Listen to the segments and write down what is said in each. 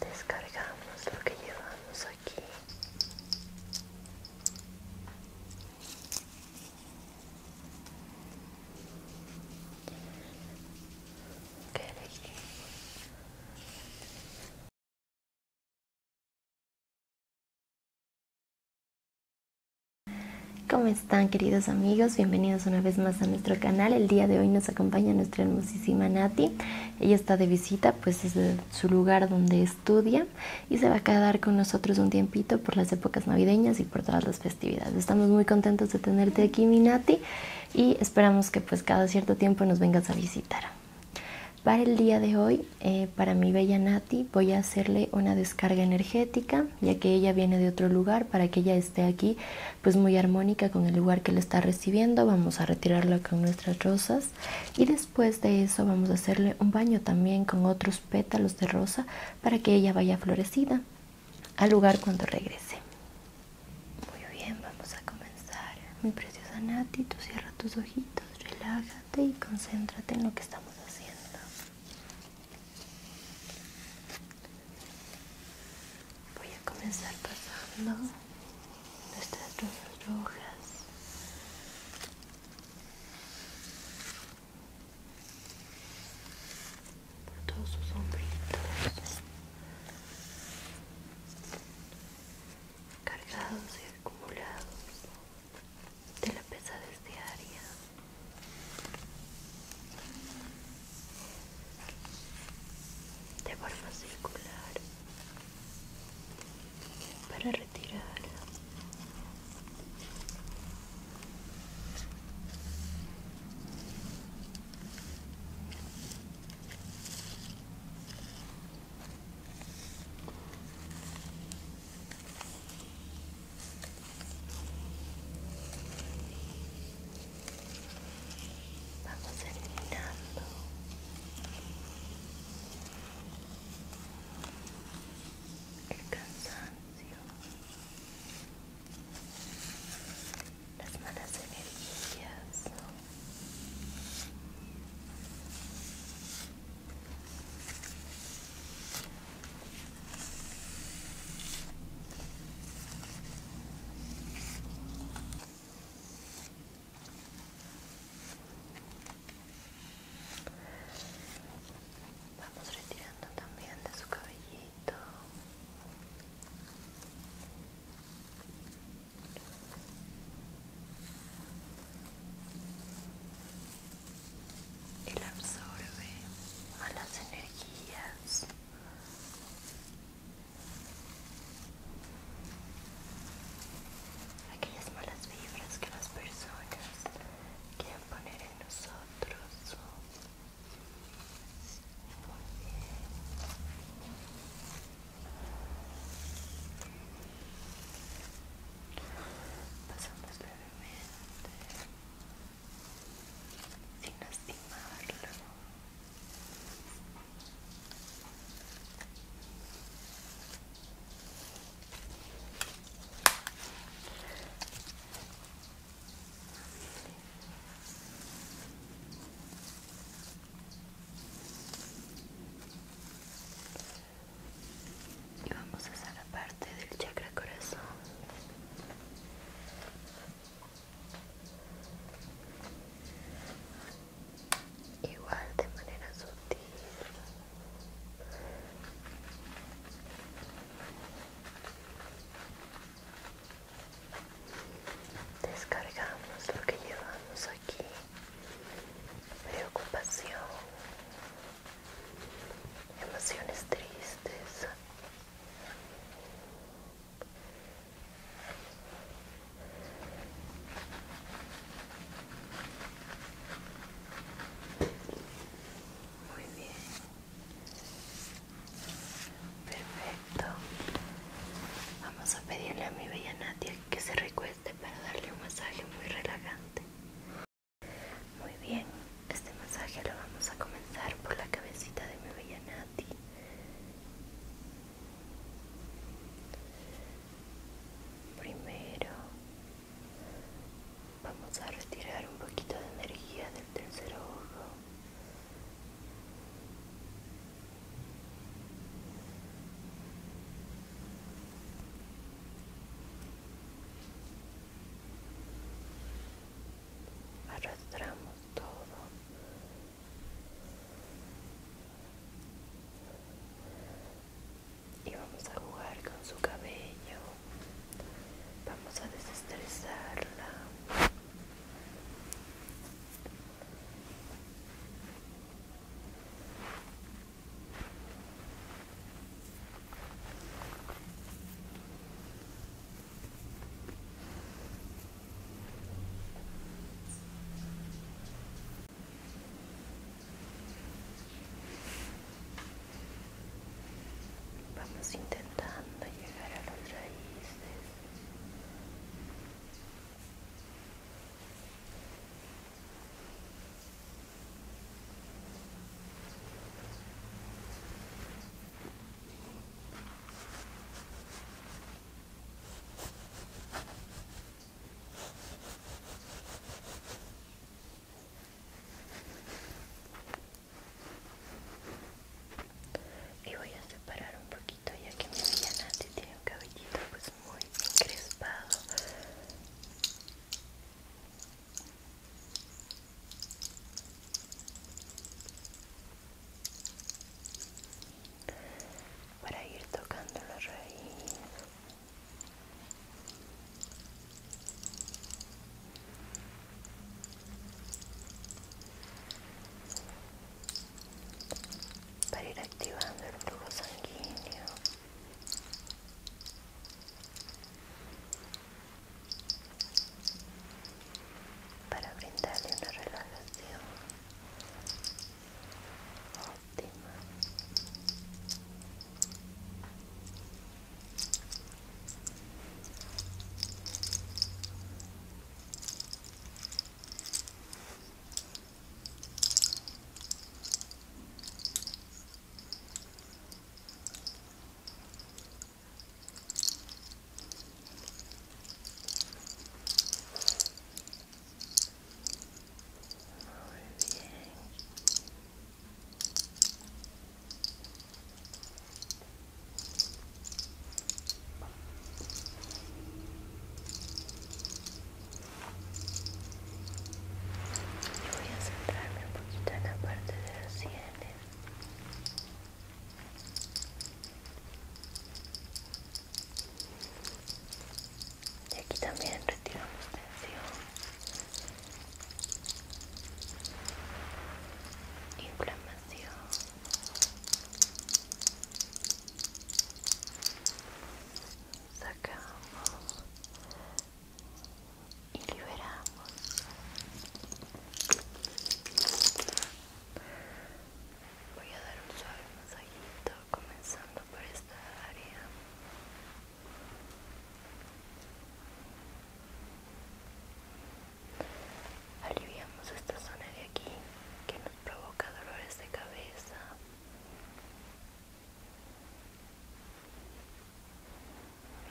descargamos lo que llevamos aquí ¿Qué ¿Cómo están queridos amigos? Bienvenidos una vez más a nuestro canal. El día de hoy nos acompaña nuestra hermosísima Nati ella está de visita, pues es su lugar donde estudia y se va a quedar con nosotros un tiempito por las épocas navideñas y por todas las festividades. Estamos muy contentos de tenerte aquí, Nati y esperamos que pues cada cierto tiempo nos vengas a visitar. Para el día de hoy, eh, para mi bella Nati, voy a hacerle una descarga energética, ya que ella viene de otro lugar, para que ella esté aquí pues muy armónica con el lugar que le está recibiendo. Vamos a retirarla con nuestras rosas y después de eso vamos a hacerle un baño también con otros pétalos de rosa para que ella vaya florecida al lugar cuando regrese. Muy bien, vamos a comenzar. Mi preciosa Nati, tú cierra tus ojitos, relájate y concéntrate en lo que estamos haciendo voy a comenzar pasando nuestras rosas rojas por todos sus hombritos cargados y acumulados de la pesadez diaria de forma circular para retirar Vamos eliminando el cansancio, las malas energías. Vamos retirando también de su cabellito. Él absorbe las energías aquellas malas vibras que las personas quieren poner en nosotros. Pasamos sin lastimarlo. Y vamos a hacer la parte del chakra corazón igual de manera sutil descargamos lo que llevamos aquí preocupación emociones tristes muy bien. Perfecto. Vamos a pedirle a mi bella Natia que se recueste para darle un masaje muy relajante. Muy bien, este masaje lo vamos a comenzar por la cabecita de mi bella Natia. Primero vamos a retirar un poquito de energía del tercer ojo. Arrastramos todo y vamos a jugar con su cabello vamos a desestresarla Vamos intentando llegar a las raíces. Y voy a separar un poquito ya que mi Nati tiene un cabellito pues muy encrespado para ir tocando la raíz para ir activando el flujo sanguíneo para brindarle una relación óptima voy a centrarme un poquito en la parte de los cielos y aquí también retiramos tensión, inflamación. Sacamos y liberamos. Voy a dar un suave masajito comenzando por esta área. Aliviamos esta zona de aquí que nos provoca dolores de cabeza.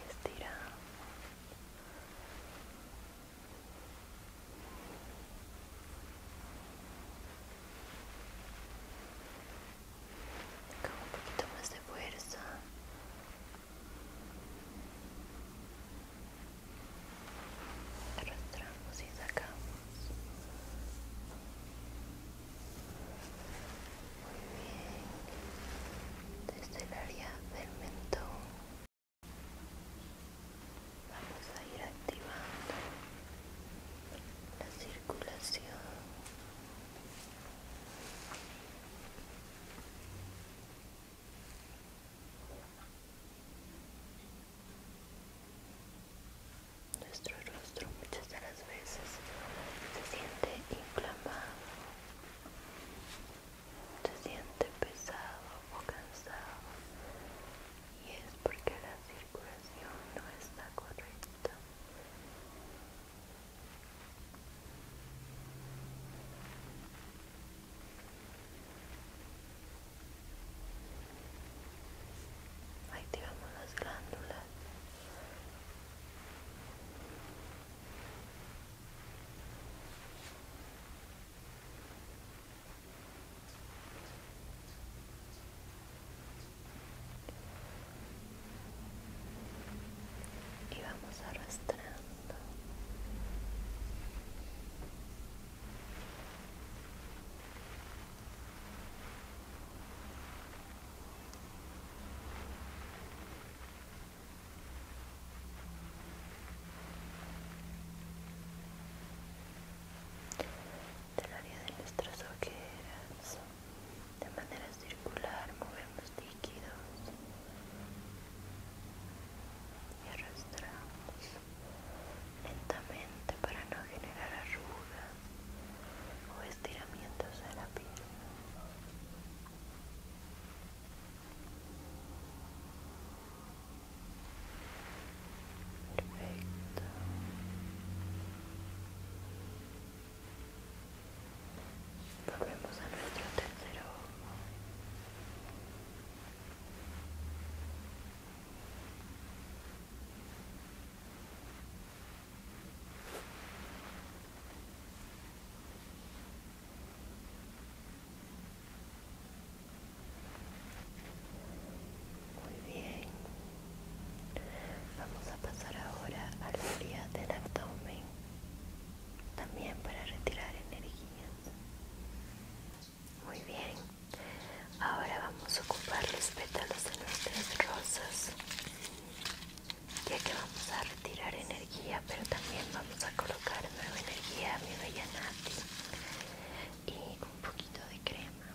Estira un poquito más de fuerza. Arrastramos y sacamos. Muy bien. Desde área del mentón Vamos a ir activando la circulación. Nuestro rostro muchas de las veces se siente inflamado se siente pesado o cansado y es porque la circulación no está correcta. Activamos las glándulas y vamos arrastrando del área de nuestras ojeras, de manera circular, movemos líquidos y arrastramos lentamente para no generar arrugas o estiramientos de la piel. Perfecto. Volvemos a nuestro tercero. Muy bien. Vamos a pasar ahora al frío del abdomen. También para retirar energías. Muy bien. Ahora vamos a ocupar los pétalos de nuestras rosas ya que vamos a retirar energía pero también vamos a colocar nueva energía mi bella Nati y un poquito de crema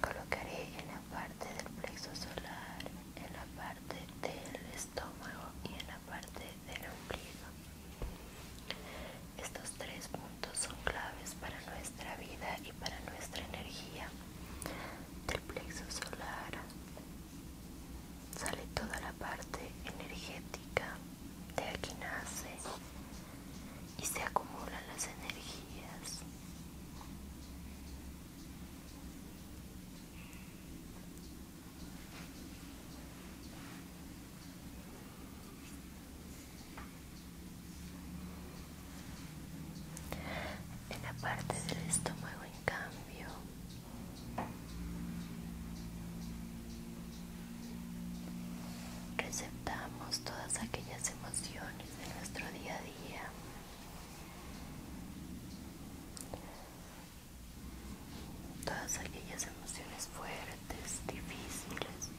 colocaré en la parte del plexo solar en la parte del estómago y en la parte del ombligo estos tres puntos son claves para nuestra nuestra vida y para nuestra energía del plexo solar sale toda la parte energética de aquí nace y se acumulan las energías en la parte del estómago, en cambio, receptamos todas aquellas emociones de nuestro día a día. Todas aquellas emociones fuertes, difíciles,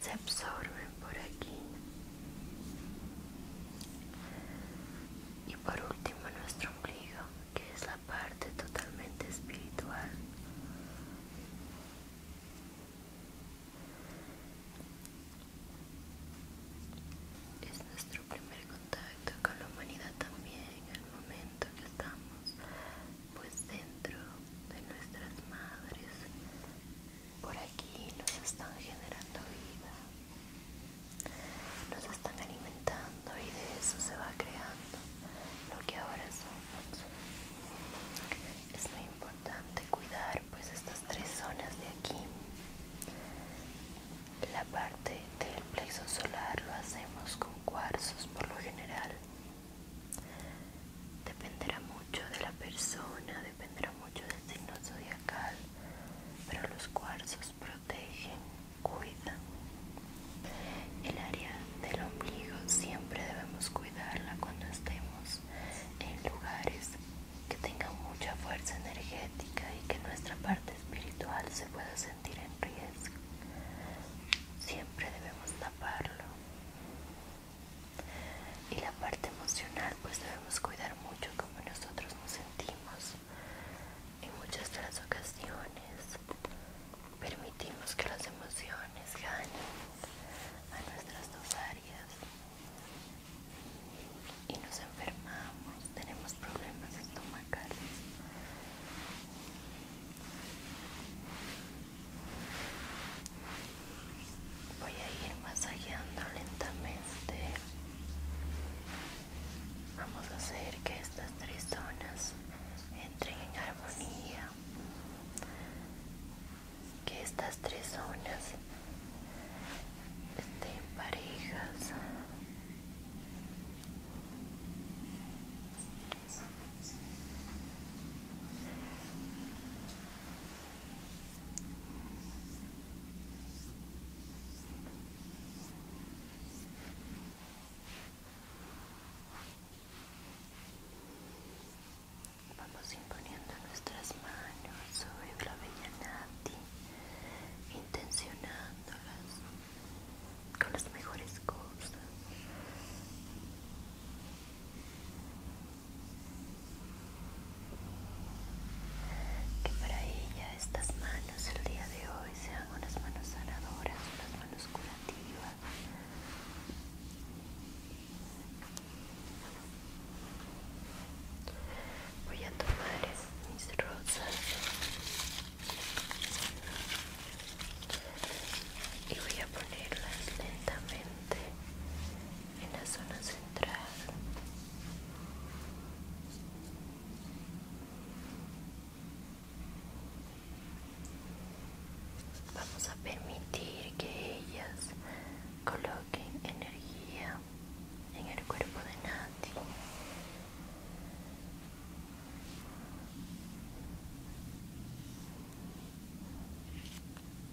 se absorben por aquí y por último nuestro ombligo que es la parte totalmente espiritual es nuestro primer contacto con la humanidad también en el momento que estamos pues dentro de nuestras madres por aquí nos están generando vida, nos están alimentando y de eso se va creando lo que ahora somos. Es muy importante cuidar pues estas tres zonas de aquí. La parte del plexo solar lo hacemos con cuarzos por lo general. Dependerá mucho de la persona, dependerá mucho del signo zodiacal, pero los cuarzos protegen, cuidan. El área del ombligo siempre debemos cuidarla cuando estemos en lugares que tengan mucha fuerza energética y que nuestra parte espiritual se pueda sentir en riesgo. Siempre debemos taparlo y la parte emocional pues debemos cuidar mucho como nosotros nos sentimos en muchas de las ocasiones permitimos que las emociones ganen a nuestras dos áreas y nos enfermamos tenemos problemas estomacales voy a ir masajeando lentamente vamos a hacer que estas tres zonas entren en armonía que estas tres zonas estén parejas Vamos imponiendo nuestras manos sobre la vellanati, intencionándolas con las mejores cosas que para ella estas manos el día de hoy sean unas manos sanadoras, unas manos curativas. Voy a tomar mis rosas y voy a ponerlas lentamente en la zona central vamos a permitir que ellas coloquen energía en el cuerpo de Nati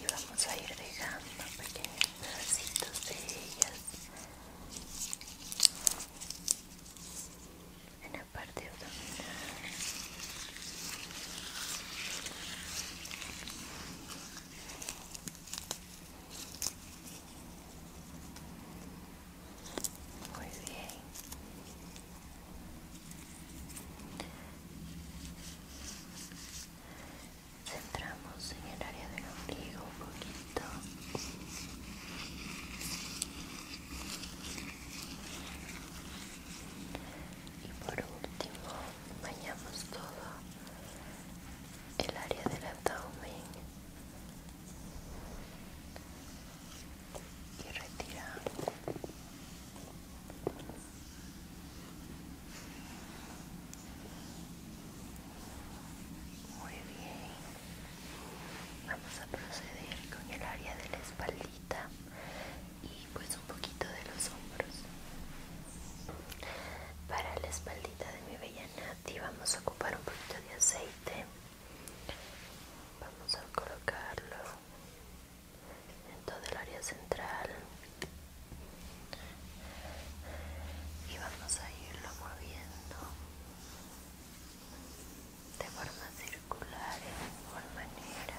y vamos a ir dejando pequeños pedacitos de ellas en la parte abdominal muy bien centramos en el área del ombligo un poquito y por último bañamos todo el área del abdomen y retiramos muy bien. Vamos a proceder con el área de la espaldita y pues un poquito de los hombros. Para la espaldita de mi bella Nati vamos a ocupar un poquito de aceite. Vamos a colocarlo en todo el área central y vamos a irlo moviendo de forma circular de forma manera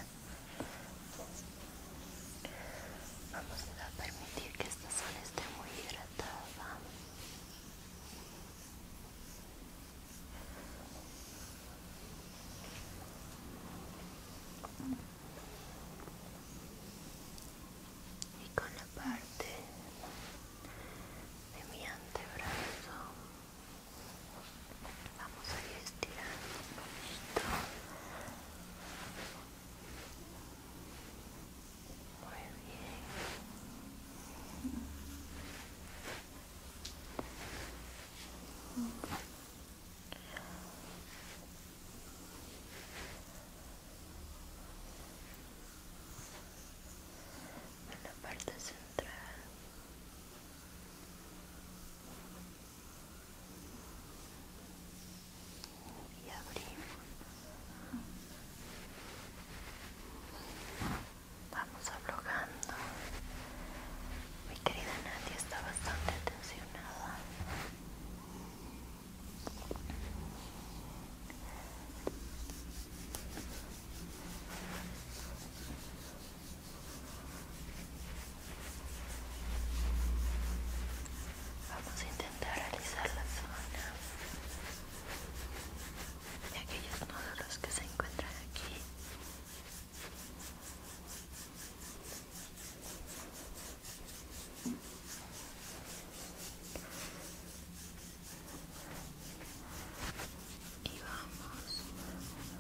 vamos a permitir que esta zona esté muy hidratada y con la parte de mi antebrazo vamos a ir estirando un poquito muy bien en la parte central y abrimos vamos abogando mi querida Nadia está bastante tensionada Vamos a intentar realizar la zona de aquellos nódulos que se encuentran aquí y vamos moviendo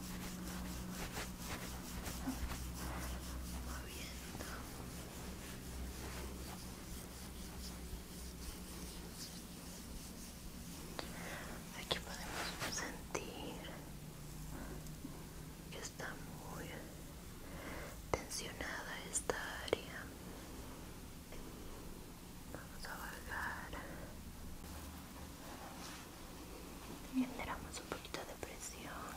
aquí podemos sentir está muy tensionada esta área vamos a bajar generamos un poquito de presión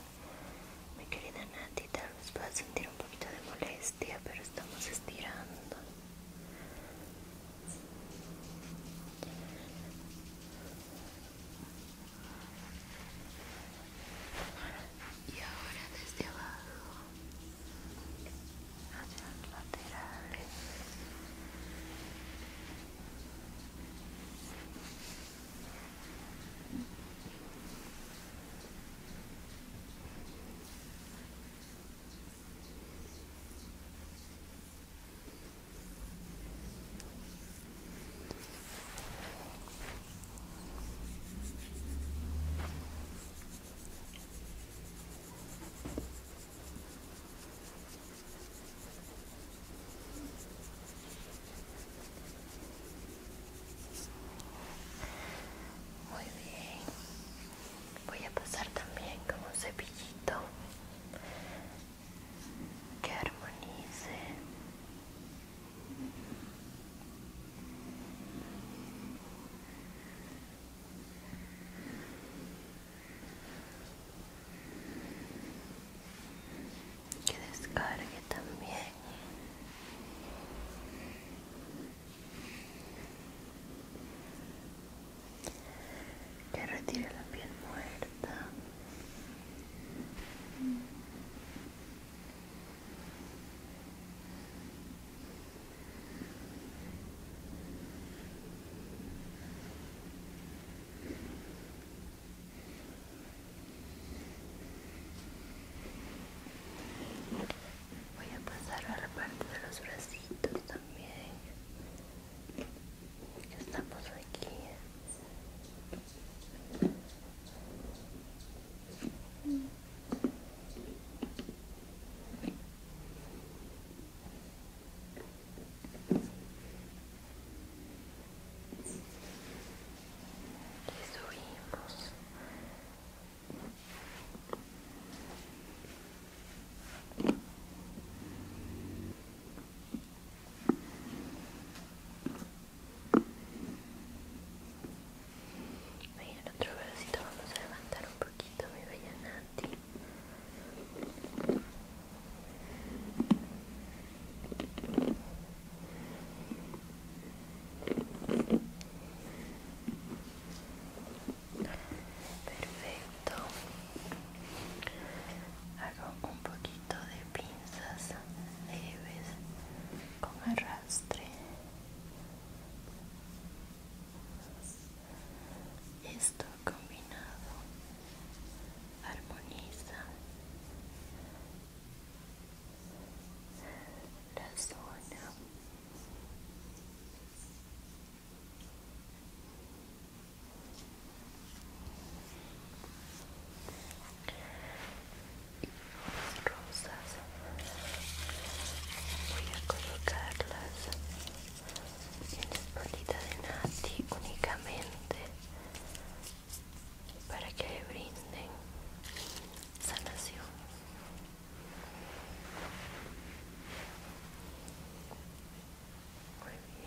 mi querida Nati tal vez pueda sentir un poquito de molestia pero estamos estirando y ahora desde abajo hacia los laterales muy bien, voy a pasar también con un cepillito que armonice que descargue también que retire la piel muerta Voy a pasar a la parte de los bracitos también. Ya estamos aquí. Les oímos. Venga, el otro bracito vamos a levantar un poquito, mi bella Nati. Perfecto. Hago un poquito de pin esas leves con arrastre esto combinado armoniza la zona rosas voy a colocarlas en la espaldita de Nati únicamente para que le brinden sanación. Muy bien.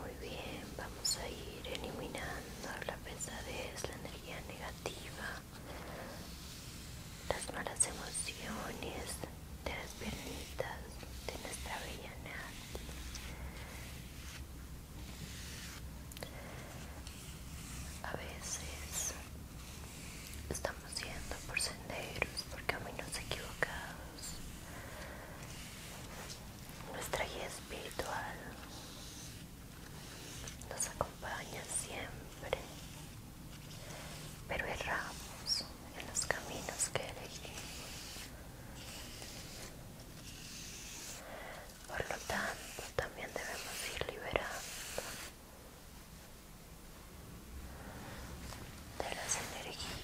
Muy bien, vamos a ir eliminando la pesadez, la energía negativa, las malas emociones de las piernitas de nuestra bella A veces estamos yendo por senderos, por caminos equivocados nuestra guía espiritual nos acompaña siempre, pero erramos en los caminos que elegimos. Por lo tanto, también debemos ir liberando de las energías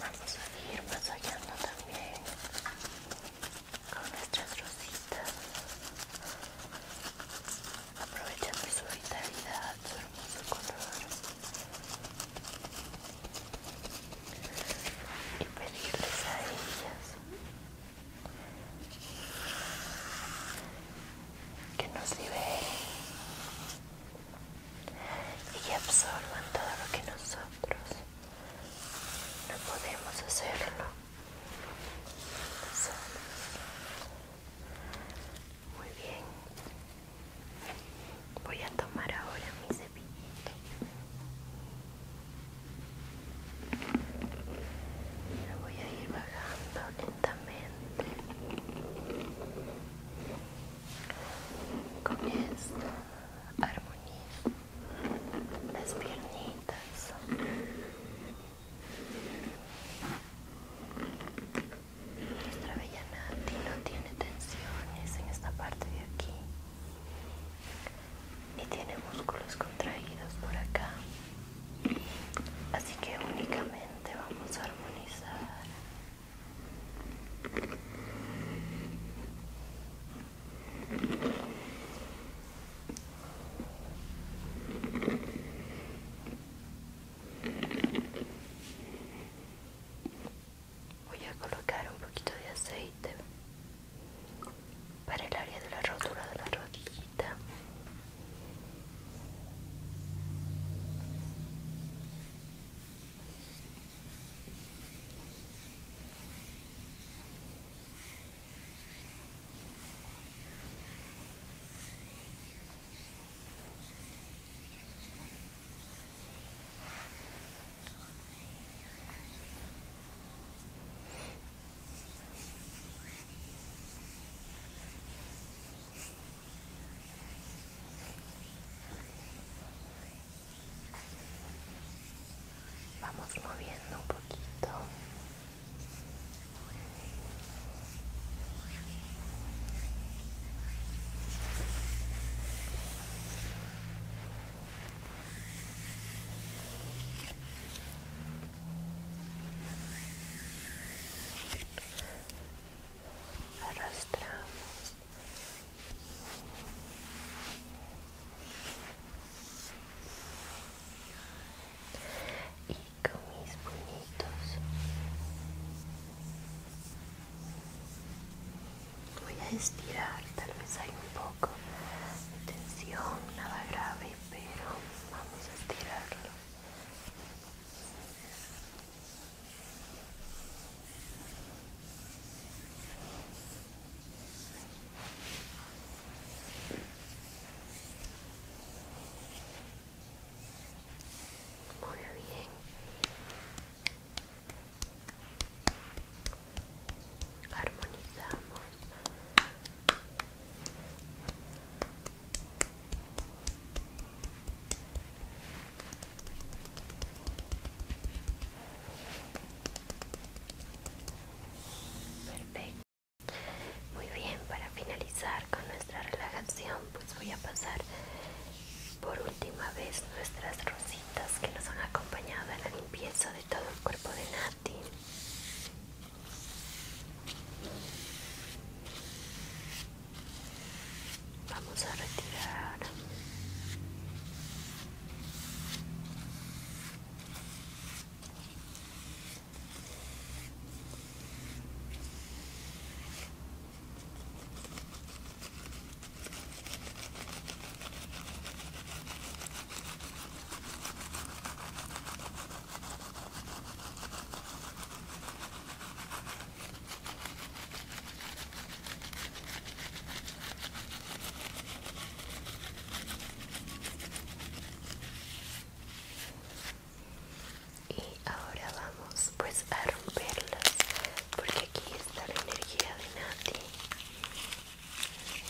Vamos a también con nuestras rositas, aprovechando su vitalidad, su color y pedirles a que nos liberen y que absorban todo lo que nosotros no podemos hacerlo Muy bien, voy a tomar ahora mi cepillito voy a ir bajando lentamente. Con esto armonizo las piernitas. Nuestra bella Nati no tiene tensiones en esta parte de aquí y tiene músculos contraídos por acá así que únicamente vamos a armonizar Voy a colocar un poquito de aceite para el área de la rotura de la rodillita Vamos moviendo un poquito arrastramos y con mis puñitos voy a estirar tal vez hay un poco tensión, nada grave, pero vamos a estirarlo. Muy bien armonizamos perfecto muy bien para finalizar con nuestra relajación pues voy a pasar por última vez nuestras rositas que nos han acompañado en la limpieza de todo el cuerpo de Nati. Vamos a retirar. Y ahora vamos pues a romperlas porque aquí está la energía de Nati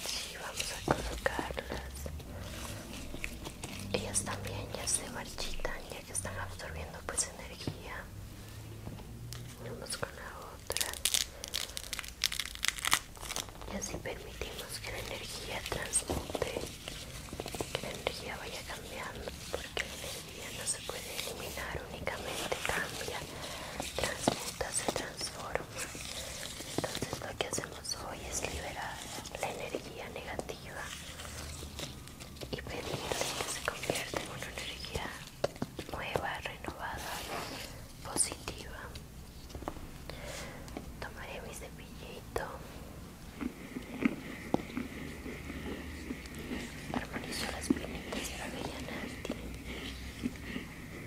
si, vamos a colocarlas. Ellas también ya se marchitan, ya que están absorbiendo pues energía. Vamos con la otra. Y así permitimos que la energía transmute, que la energía vaya cambiando, porque la energía no se puede eliminar, únicamente cambia, transmuta, se transforma. Entonces lo que hacemos hoy es liberar la energía negativa y pedirle que se convierta en una energía nueva, renovada, positiva. Tomaré mi cepillito. Armonizo las pinitas de la avellana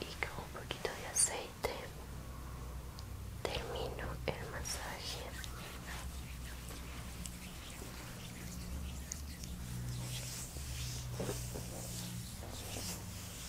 y con un poquito de aceite termino el masaje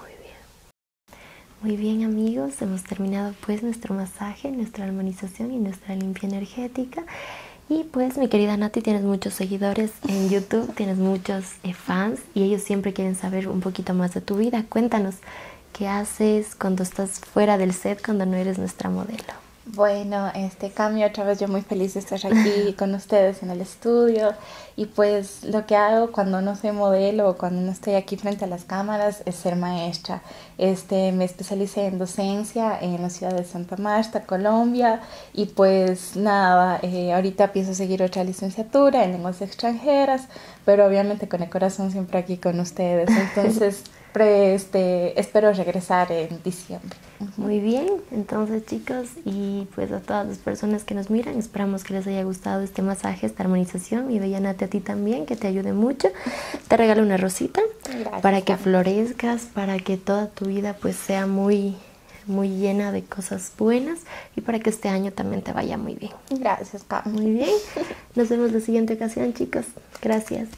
Muy bien. Muy bien amigos, hemos terminado pues nuestro masaje, nuestra armonización y nuestra limpia energética. Y pues mi querida Nati, tienes muchos seguidores en YouTube, tienes muchos eh, fans y ellos siempre quieren saber un poquito más de tu vida. Cuéntanos, ¿qué haces cuando estás fuera del set, cuando no eres nuestra modelo? Bueno, este cambio otra vez yo muy feliz de estar aquí con ustedes en el estudio y pues lo que hago cuando no soy modelo o cuando no estoy aquí frente a las cámaras es ser maestra. Este, me especialicé en docencia en la ciudad de Santa Marta, Colombia y pues nada, eh, ahorita pienso seguir otra licenciatura en lenguas extranjeras, pero obviamente con el corazón siempre aquí con ustedes. Entonces este, espero regresar en diciembre. Muy bien, entonces chicos y pues a todas las personas que nos miran, esperamos que les haya gustado este masaje, esta armonización y yanate a ti también, que te ayude mucho. Te regalo una rosita para que florezcas, para que toda tu vida pues sea muy muy llena de cosas buenas y para que este año también te vaya muy bien. Gracias, Muy bien. Nos vemos la siguiente ocasión, chicos. Gracias.